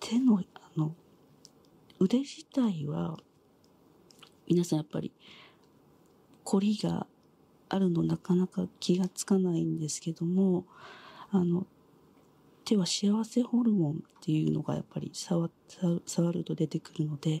手のあの腕自体は皆さんやっぱり凝りがあるのなかなか気がつかないんですけども手は幸せホルモンっていうのがやっぱり触ると出てくるので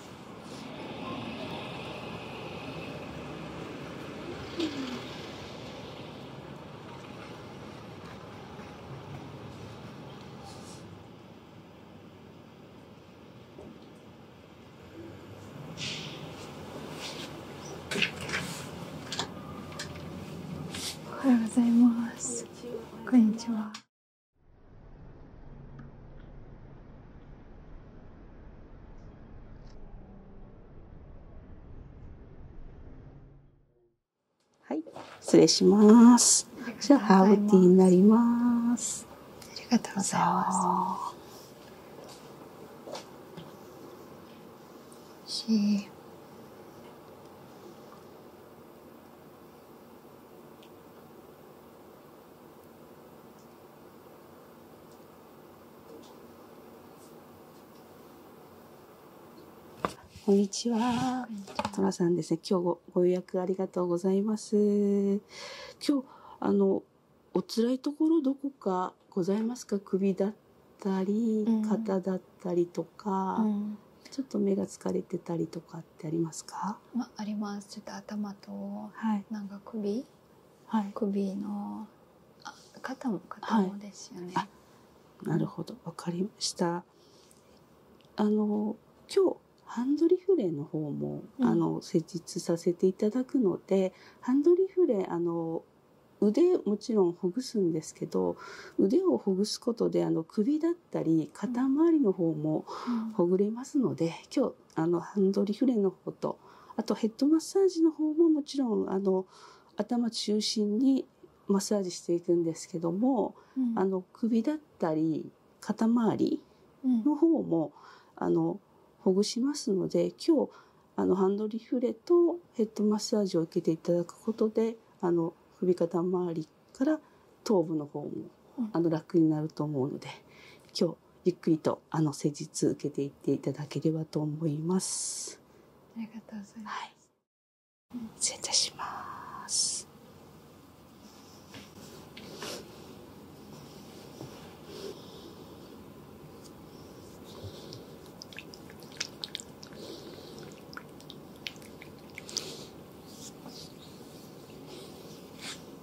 おはようございます。こんにちは。はい、失礼します。じゃあハーブティーになります。ありがとうございます。し。こんにちは。トさんですね。今日ご予約ありがとうございます。今日、あの、お辛いところどこかございますか首だったり、肩だったりとか、ちょっと目が疲れてたりとかってありますか、まあります。ちょっと頭と、なんか首、はい、首のあ肩も肩もですよね。なるほど分かりました。あの今日ハンドリフレの方も、あの施術させていただくのでハンドリフレあの腕もちろんほぐすんですけど腕をほぐすことであの首だったり肩周りの方もほぐれますので、今日。あのハンドリフレの方とあとヘッドマッサージの方ももちろんあの頭中心にマッサージしていくんですけども、あの首だったり肩周りの方も、あのほぐしますので今日あのハンドリフレとヘッドマッサージを受けていただくことであの首肩周りから頭部の方も、あの楽になると思うので今日とゆっくりとあの施術受けていっていただければと思いますありがとうございます、はい、失します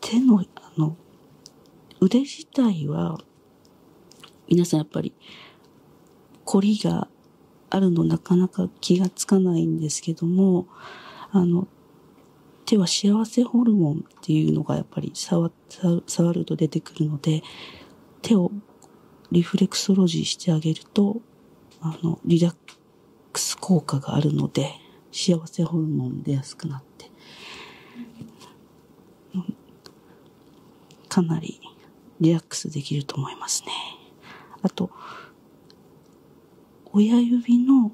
手の、あの、腕自体は、皆さんやっぱり、凝りがあるのなかなか気が付かないんですけども、あの、手は幸せホルモンっていうのがやっぱり触ると出てくるので、手をリフレクソロジーしてあげると、あの、リラッす効果があるので、幸せホルモン出やすくなって、かなりリラックスできると思いますね。あと、親指の、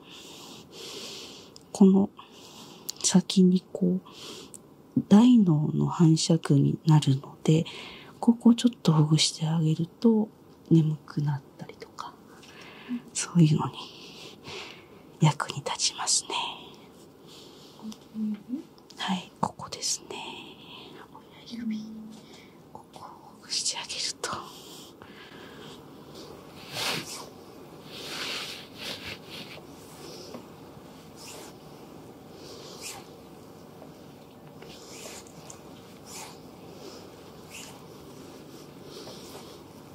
この先にこう、大脳の反射区になるので、ここをちょっとほぐしてあげると、眠くなったりとか、そういうのに役に立ちますね。はい、ここですね。親指、ここをほぐしてあげると。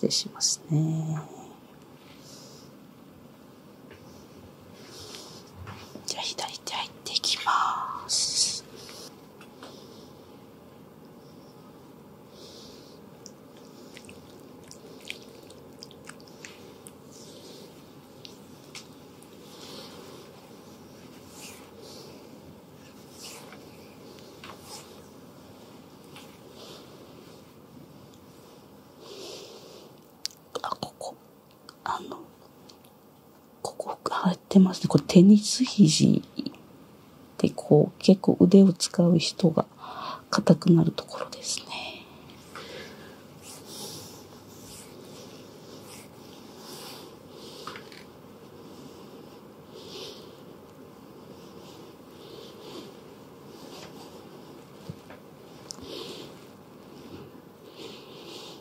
失礼しますね。じゃあ左手入っていきますあここあの、ここ入ってますね。これテニス肘でこう結構腕を使う人が硬くなるところですね。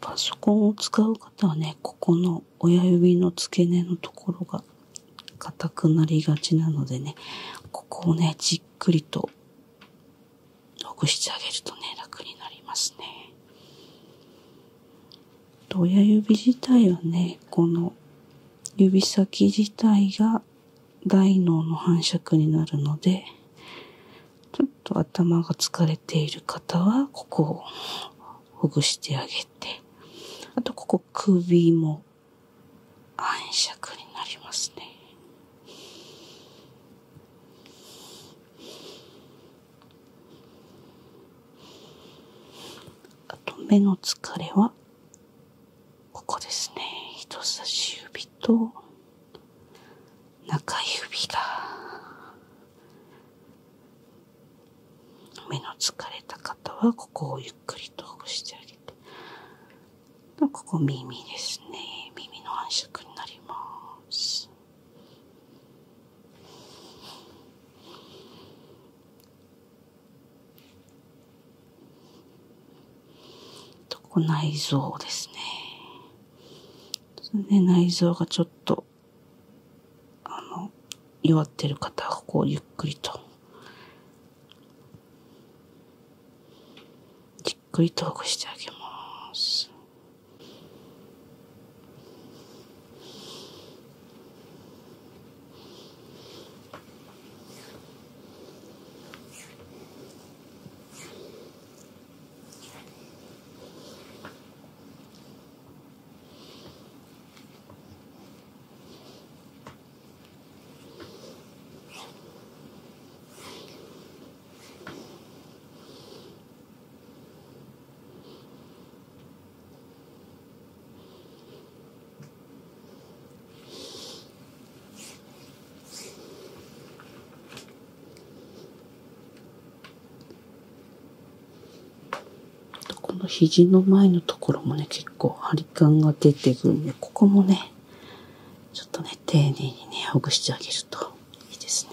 パソコンを使う方はねここの親指の付け根のところが硬くなりがちなのでねここをねじっくりとほぐしてあげるとね、楽になりますね。親指自体はね、この指先自体が大脳の反射区になるので、ちょっと頭が疲れている方は、ここをほぐしてあげて、あとここ首も暗尺になりますねあと目の疲れはここですね人差し指と中指が目の疲れた方はここをゆっくりとほぐしてあげてここ耳ですね。耳の反射になります。と、ここ内臓ですね。ね内臓がちょっと、あの、弱ってる方は、ここをゆっくりと。じっくりとしてあげます。この肘の前のところもね、結構張り感が出てくるんで、ここもね、ちょっとね、丁寧にね、ほぐしてあげるといいですね。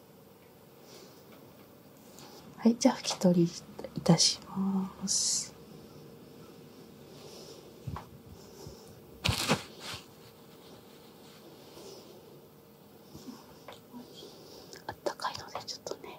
はいじゃあ拭き取りいたしますあっったかいので、ちょとね。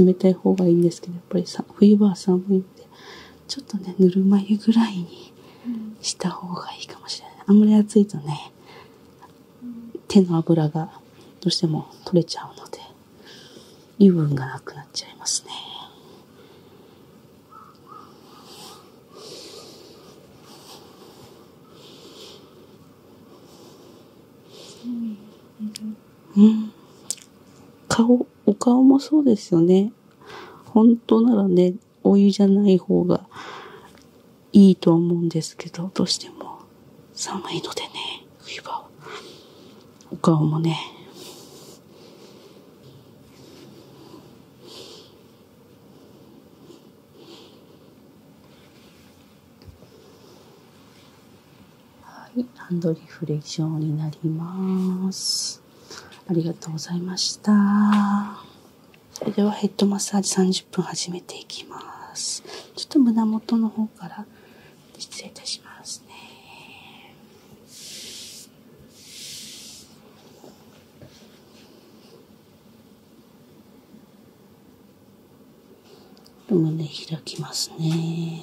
冷たい方がいいんですけどやっぱりさ冬場は寒いんでちょっとねぬるま湯ぐらいにした方がいいかもしれない、あんまり暑いとね手の脂がどうしても取れちゃうので油分がなくなっちゃいますねうん。顔、お顔もそうですよね。本当ならね、お湯じゃない方がいいと思うんですけど、どうしても寒いのでね、冬場は。お顔もね。はい、ハンドリフレクションになります。ありがとうございました。それではヘッドマッサージ30分始めていきます。ちょっと胸元の方から失礼いたしますね。胸開きますね。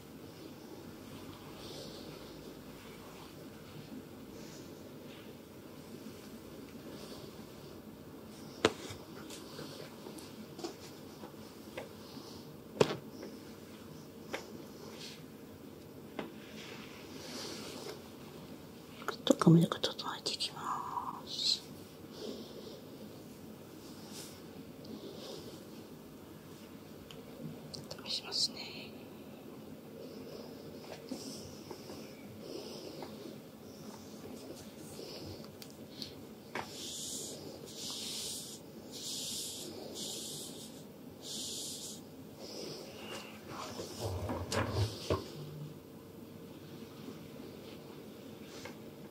ちょっと髪の毛整えていきます。試しますね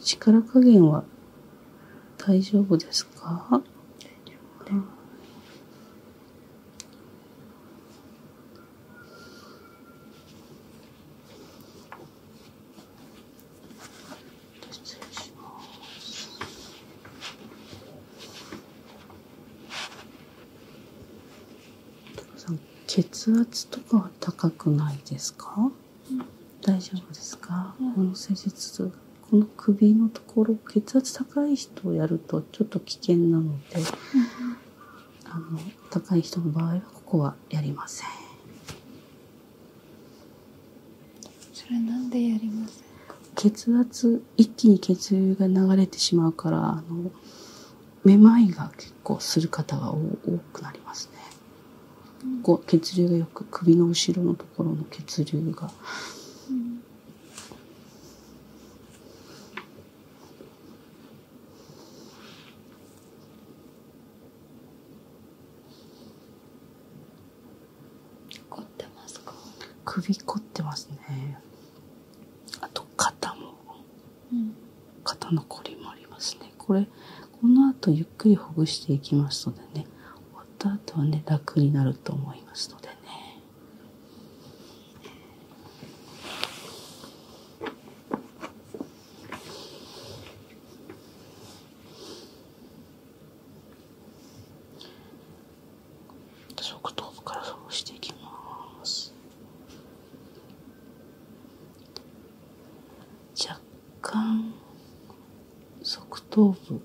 力加減は大丈夫ですか血圧とかは高くないですか大丈夫ですか、この施術この首のところ血圧高い人をやるとちょっと危険なので、あの高い人の場合はここはやりませんそれなんでやりませ血圧一気に血流が流れてしまうからあのめまいが結構する方が多くなりますねこう血流がよく首の後ろのところの血流が、うってますか首凝ってますねあと肩も、肩の凝りもありますねこれこの後ゆっくりほぐしていきますのでね終わった後はね楽になると思いますのでね側頭部からそうしていきます。若干側頭部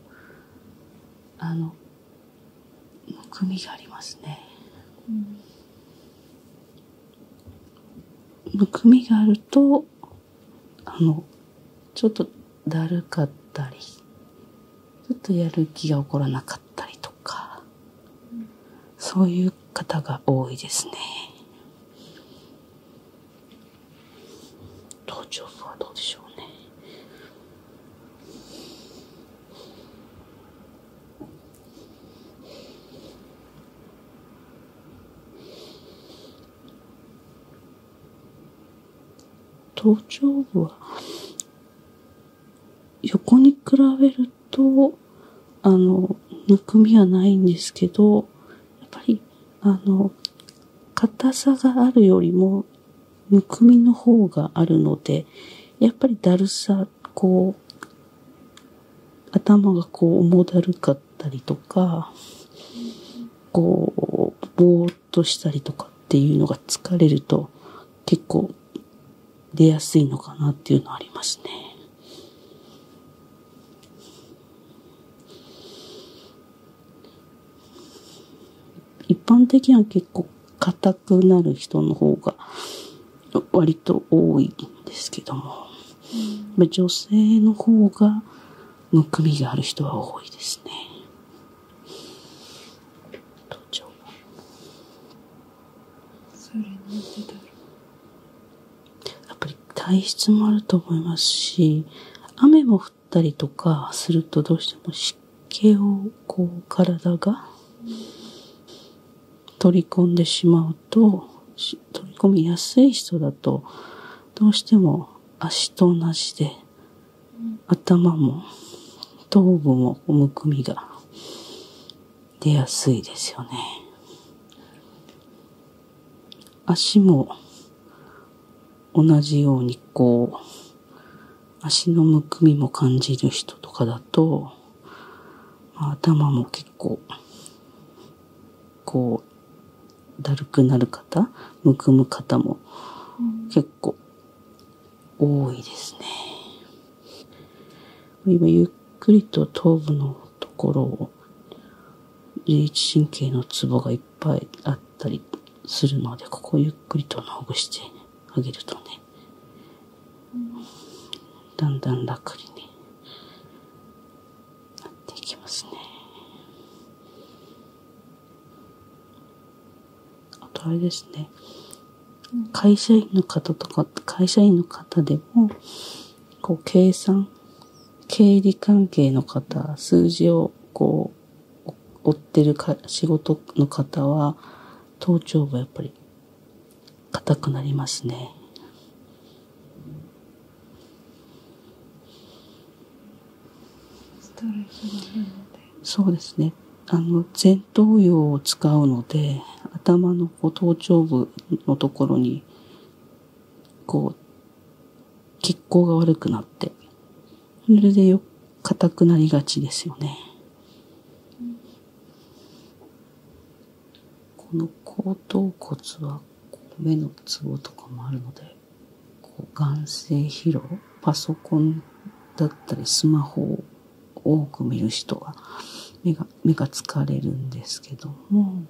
あのむくみがありますね、むくみがあるとあのちょっとだるかったりちょっとやる気が起こらなかったりとか、そういう方が多いですね。頭頂部はどうでしょうね頭頂部は横に比べるとあのむくみはないんですけどやっぱり、あの、硬さがあるよりも、むくみの方があるので、やっぱりだるさ、こう、頭がこう、重だるかったりとか、こう、ぼーっとしたりとかっていうのが疲れると、結構、出やすいのかなっていうのはありますね。一般的には結構硬くなる人の方が割と多いんですけども、女性の方がむくみがある人は多いですね。やっぱり体質もあると思いますし、雨も降ったりとかするとどうしても湿気を体が取り込んでしまうと、取り込みやすい人だと、どうしても足と同じで、頭も頭部もむくみが出やすいですよね。足も同じようにこう、足のむくみも感じる人とかだと、頭も結構、こう、だるくなる方、むくむ方も結構多いですね。今ゆっくりと頭部のところを自律神経のツボがいっぱいあったりするので、ここをゆっくりとほぐしてあげるとね、だんだん楽にね、なっていきますね。あとあれですね、会社員の方とか、会社員の方でも、こう計算経理関係の方、数字をこう、追ってるか仕事の方は、頭頂部やっぱり硬くなりますね。そうですね。あの、前頭葉を使うので、頭のこ頭頂部のところに、こう、血行が悪くなって、それでよ、硬くなりがちですよね。この後頭骨は目のツボとかもあるので、こう眼性疲労、パソコンだったりスマホを多く見る人は目が、目が疲れるんですけども、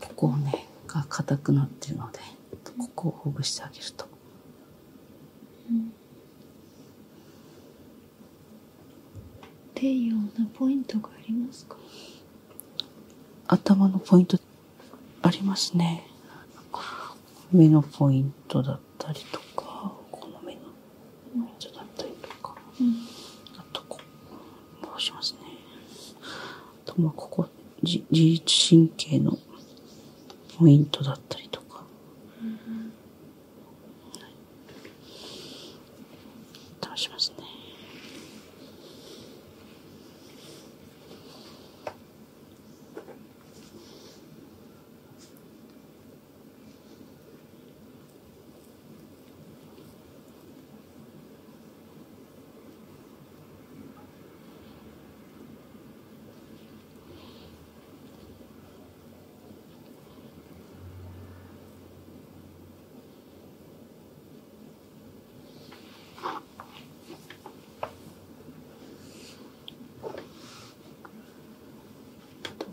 ここをねが硬くなってるのでここをほぐしてあげると。っていうようなポイントがありますか頭のポイントありますね目のポイントだったりとかこの目のポイントだったりとか、うん、あとこうしますねとまあここ自律神経のポイントだったりとか、倒しますね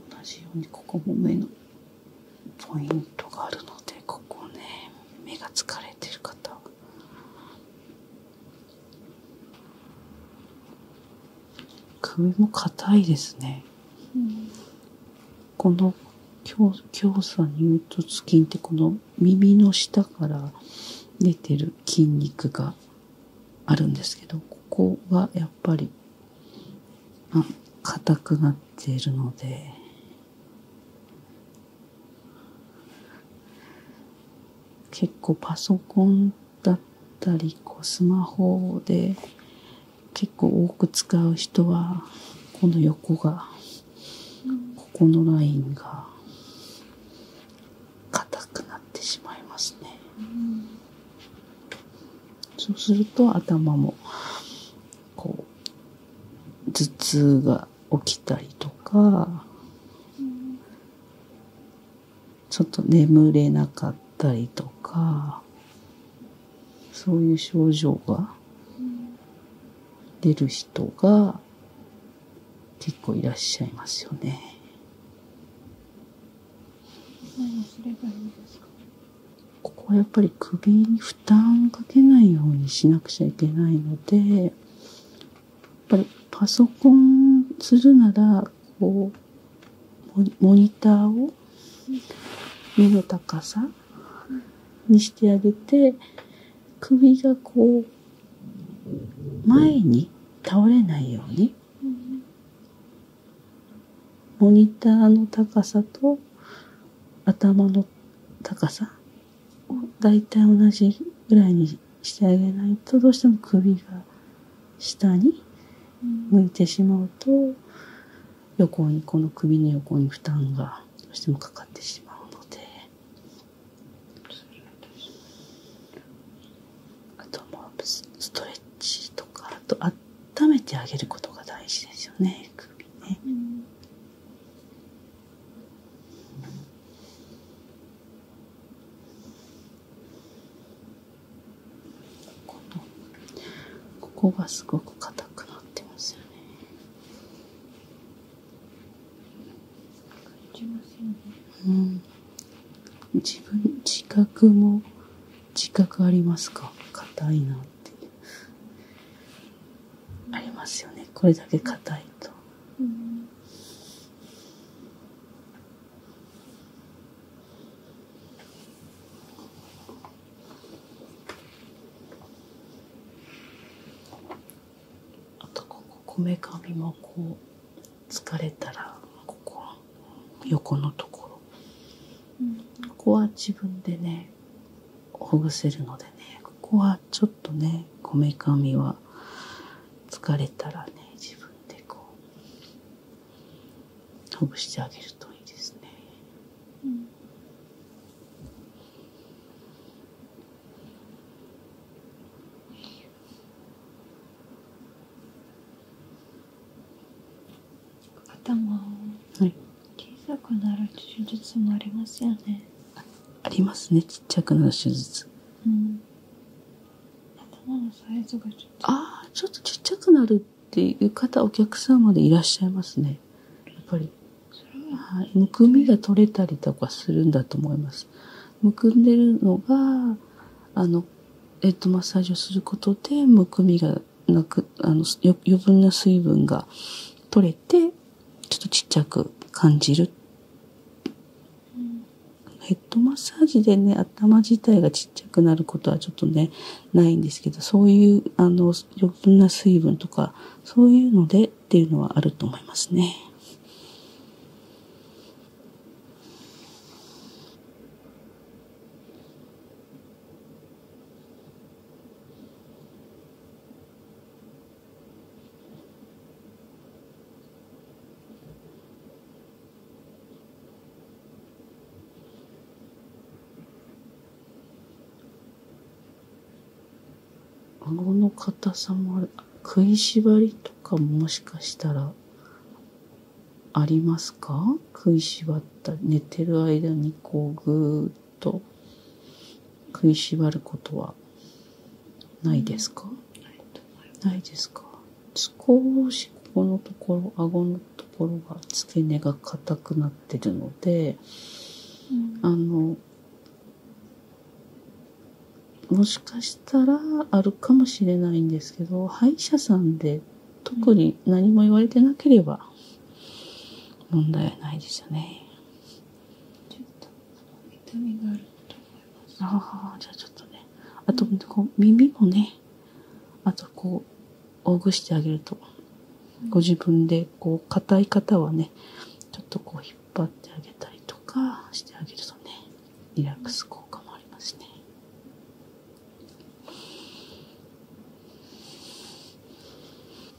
同じようにここも目のポイントがあるのでここね目が疲れてる方首も硬いですね、この強さ乳突筋ってこの耳の下から出てる筋肉があるんですけどここがやっぱり硬くなっているので結構パソコンだったりこうスマホで結構多く使う人はこの横がここのラインが硬くなってしまいますね。そうすると頭もこう頭痛が起きたりとか、ちょっと眠れなかったりとか、そういう症状が出る人が結構いらっしゃいますよね。ここはやっぱり首に負担をかけないようにしなくちゃいけないのでやっぱりパソコンするならこうモニターを目の高さにしてあげて首がこう前に倒れないようにモニターの高さと頭の高さ大体同じぐらいにしてあげないとどうしても首が下に向いてしまうと横にこの首の横に負担がどうしてもかかってしまうのであともうストレッチとかあと温めてあげることが大事ですよね首ね。このここがすごく硬くなってますよねうん自分自覚も自覚ありますか硬いなってありますよねこれだけ硬いと。あとこここめかみもこう疲れたらここ横のところ、ここは自分でねほぐせるのでねここはちょっとねこめかみは疲れたらね自分でこうほぐしてあげるといいですね。頭はい小さくなる手術もありますよねありますねちっちゃくなる手術ああちょっとちっちゃくなるっていう方お客様でいらっしゃいますねやっぱりむくみが取れたりとかするんだと思いますむくんでるのがあのヘッドマッサージをすることでむくみがなくあの余分な水分が取れてちょっとちっゃく感じる。ヘッドマッサージでね、頭自体がちっちゃくなることはちょっとね、ないんですけど、そういう、あの、余分な水分とか、そういうのでっていうのはあると思いますね。顎の硬さも食いしばりとかもしかしたらありますか食いしばった寝てる間にこうぐーっと食いしばることはないですか、ないですか少しここのところ顎のところが付け根が硬くなってるので、あのもしかしたらあるかもしれないんですけど歯医者さんで特に何も言われてなければ問題はないですよね。ちょっと痛みがあると思いますああじゃあちょっとねあと、こう耳もねあとこうほぐしてあげると、ご自分でこう硬い方はねちょっとこう引っ張ってあげたりとかしてあげるとねリラックス効果もありますね。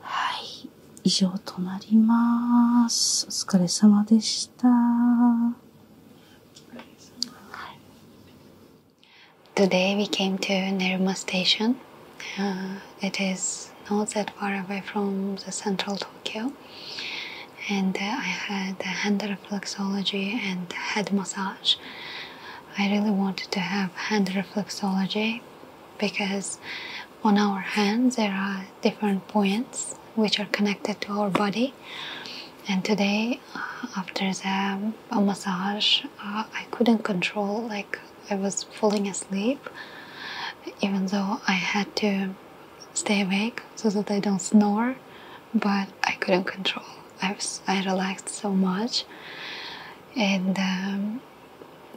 はい。以上となります。お疲れ様でした。Today we came to Nerima Station. Uh, it is not that far away from the central Tokyo. And uh, I had hand reflexology and head massage. I really wanted to have hand reflexology because on our hands there are different points which are connected to our body and today uh, after the massage uh, I couldn't control like I was falling asleep even though I had to stay awake so that I don't snore but I couldn't control I, was, I relaxed so much and um,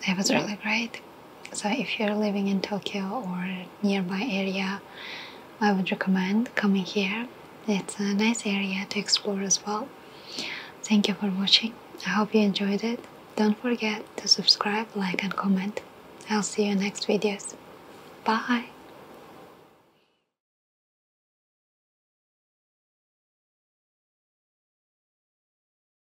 it was really great. So if you're living in Tokyo or nearby area, I would recommend coming here. It's a nice area to explore as well. Thank you for watching. I hope you enjoyed it. Don't forget to subscribe, like and comment. I'll see you in next videos. Bye!